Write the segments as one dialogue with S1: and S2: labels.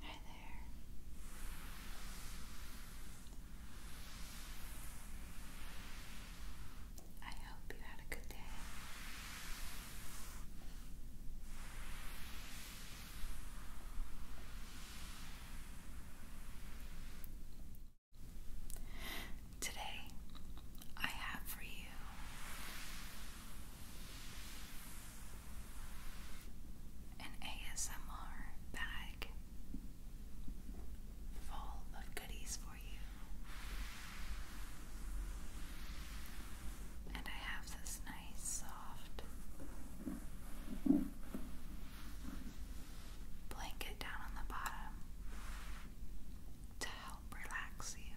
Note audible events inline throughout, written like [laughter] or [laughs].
S1: Hi there. I hope you had a good day. Today, I have for you an ASMR bag full of goodies for you. And I have this nice, soft blanket down on the bottom to help relax you.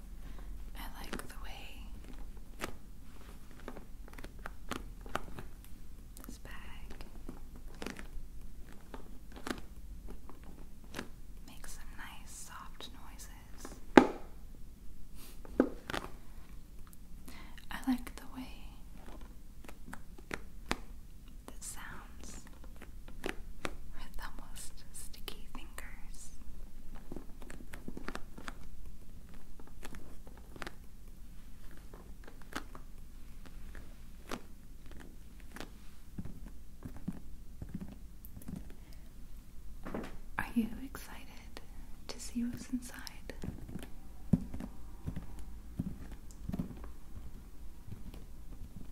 S1: I like the way this bag makes some nice soft noises. I like the way that sound sounds with almost sticky fingers. Are you excited to see what's inside?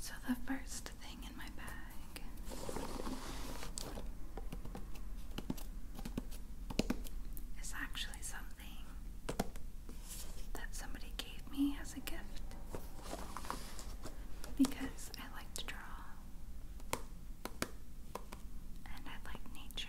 S1: So, the first thing in my bag is actually something that somebody gave me as a gift because I like to draw and I like nature.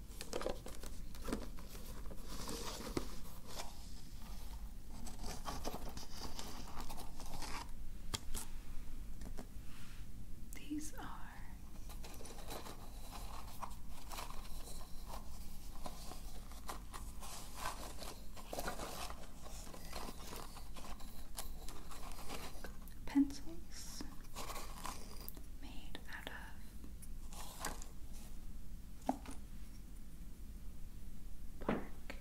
S1: These are pencils made out of bark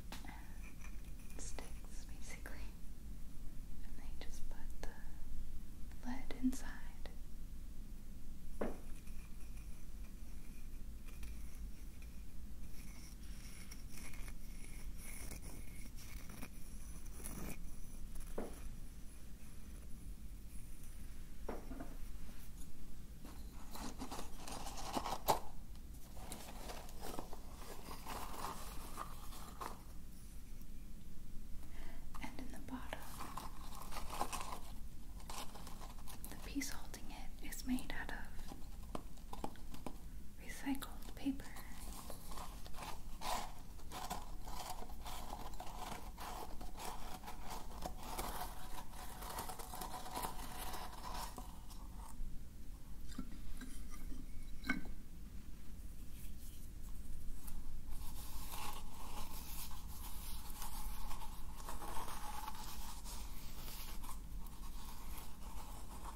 S1: and sticks basically and they just put the lead inside and in the bottom, the piece holding it is made out of recycled paper.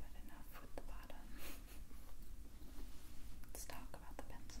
S1: But enough with the bottom. Let's talk about the pencils.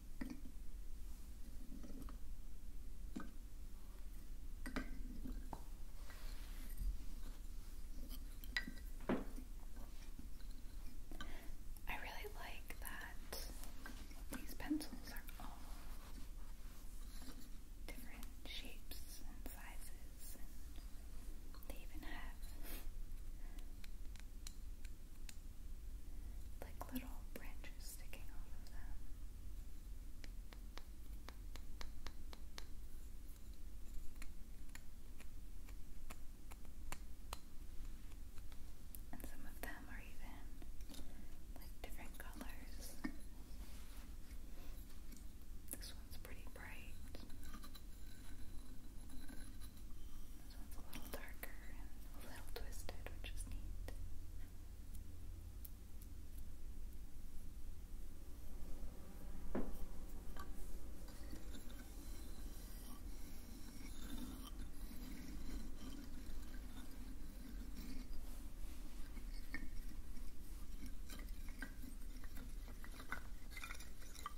S1: I really like that these pencils are all different shapes and sizes, they even have like little branches sticking off of them. And some of them are even like different colors. This one's pretty bright. This one's a little darker and a little twisted, which is neat. All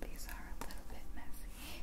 S1: These are a little bit messy.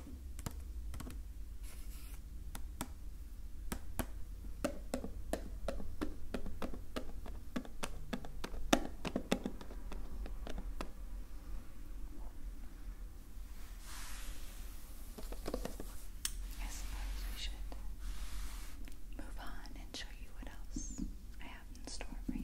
S1: I suppose we should move on and show you what else I have in store for you.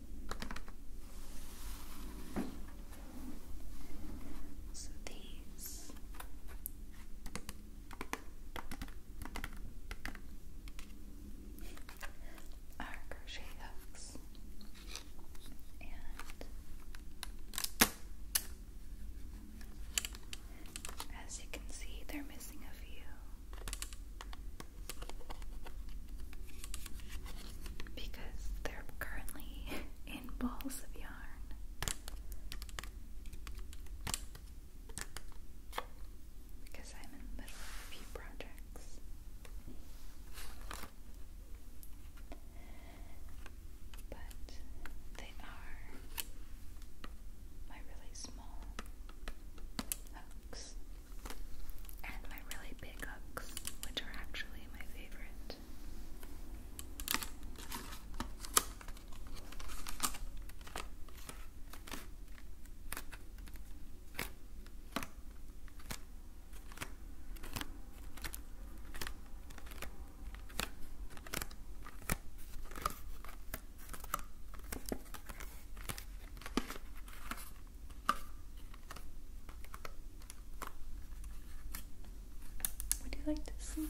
S1: So these are crochet hooks and as you can see, they're missing a few because they're currently [laughs] in balls of yarn. Because I'm in the middle of a few projects. But they are my really small hooks and my really big hooks, which are actually my favorite. Would you like to see them?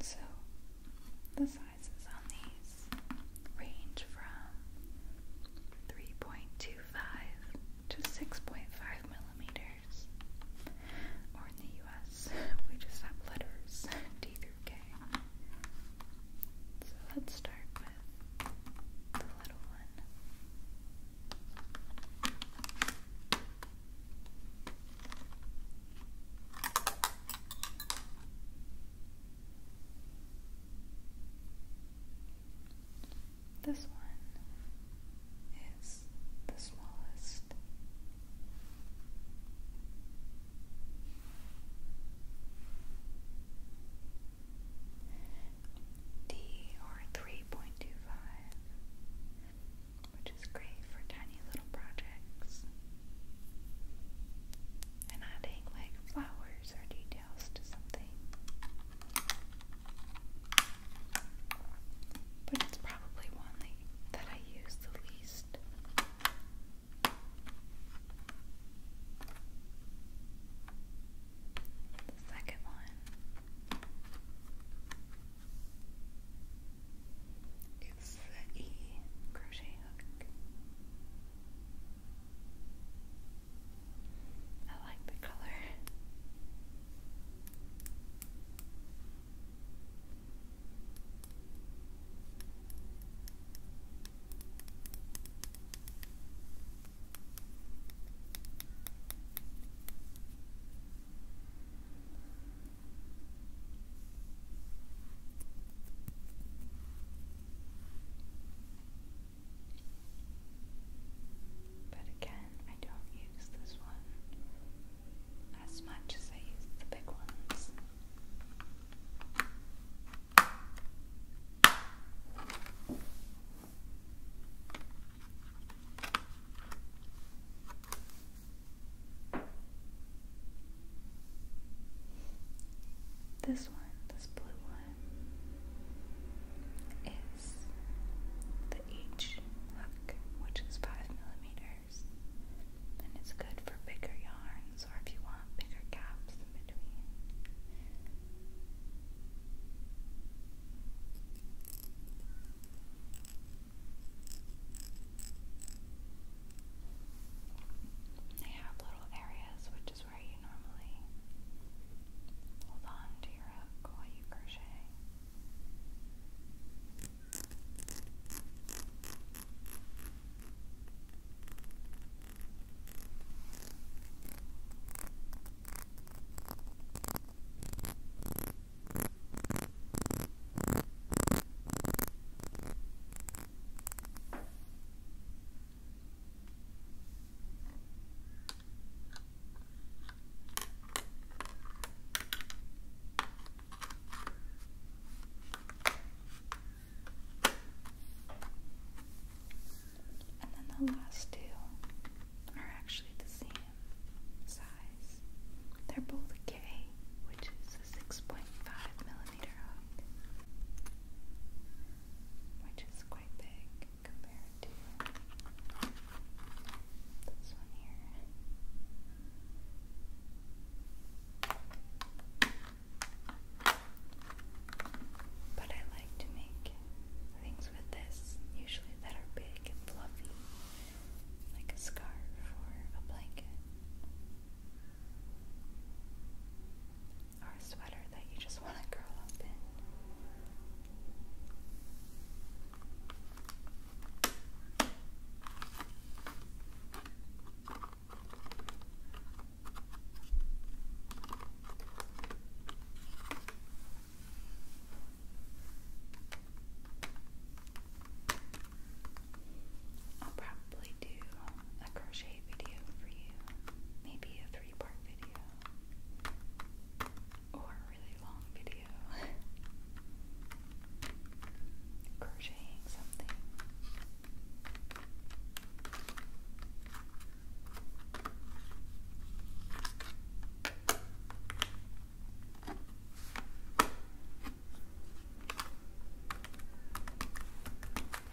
S1: So the sizes on these range from 3.25 to 6.5 millimeters. Or in the US, [laughs] we just have letters [laughs] D through K. So let's start with the little one. This one is the smallest. D 3.25, which is great for tiny little projects. And adding like flowers colors or details to something. But it's probably one that I use the least. The second one is the E crochet hook. I like the color. But again, I don't use this one as much as I use the big ones. This one, this blue one, is the H hook, which is five millimeters, and it's good for bigger yarns or if you want bigger gaps in between. They have little areas, which is where you normally hold on to your hook while you crochet. And then the last two are actually the same size. They're both K, which is a 6.5 millimeter which is quite big compared to But I like to make things with this usually that are big and fluffy, like a scarf or a blanket or a sweater that you just want to curl up in. I'll probably do a crochet video for you, maybe a three part video or a really long video [laughs] crocheting something.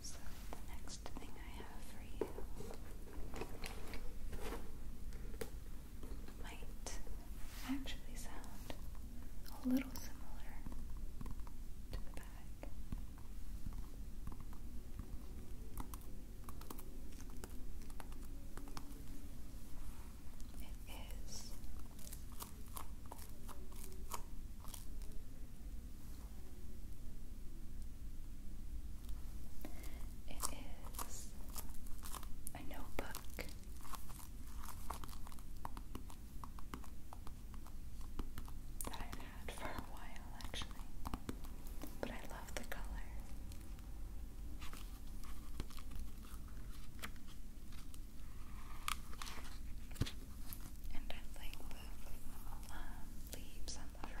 S1: So, the next thing I have for you might actually sound a little similar to the bag. It is it is a notebook. That I've had for a while actually, but I love the color and I like the um, leaves on the front.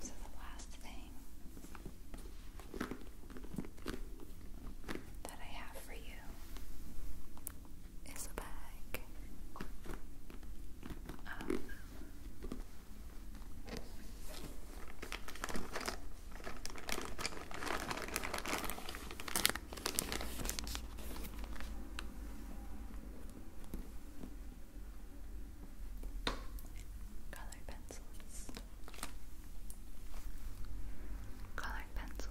S1: So the last thing that I have for you is a bag um, Color pencils. Colored pencils.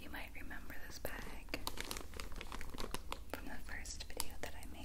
S1: You might remember this bag from the first video that I made.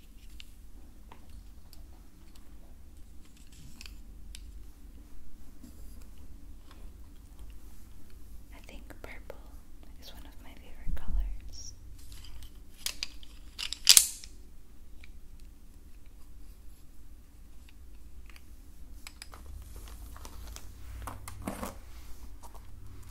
S1: I think purple is one of my favorite colors.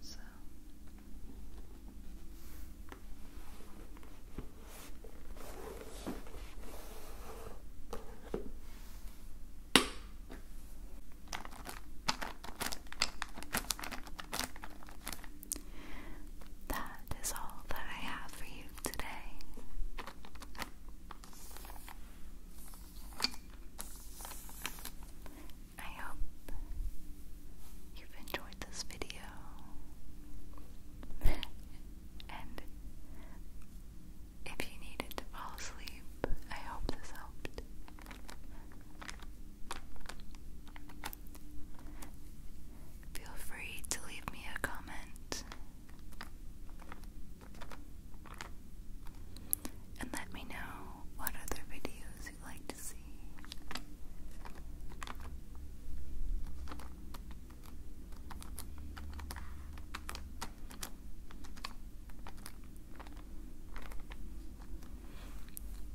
S1: So that is all that I have for you today. I hope you've enjoyed this video [laughs] and if you needed to fall asleep, I hope this helped. Feel free to leave me a comment and let me know what other videos you'd like to see.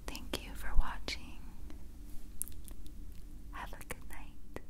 S1: Thank you for watching. Have a good night.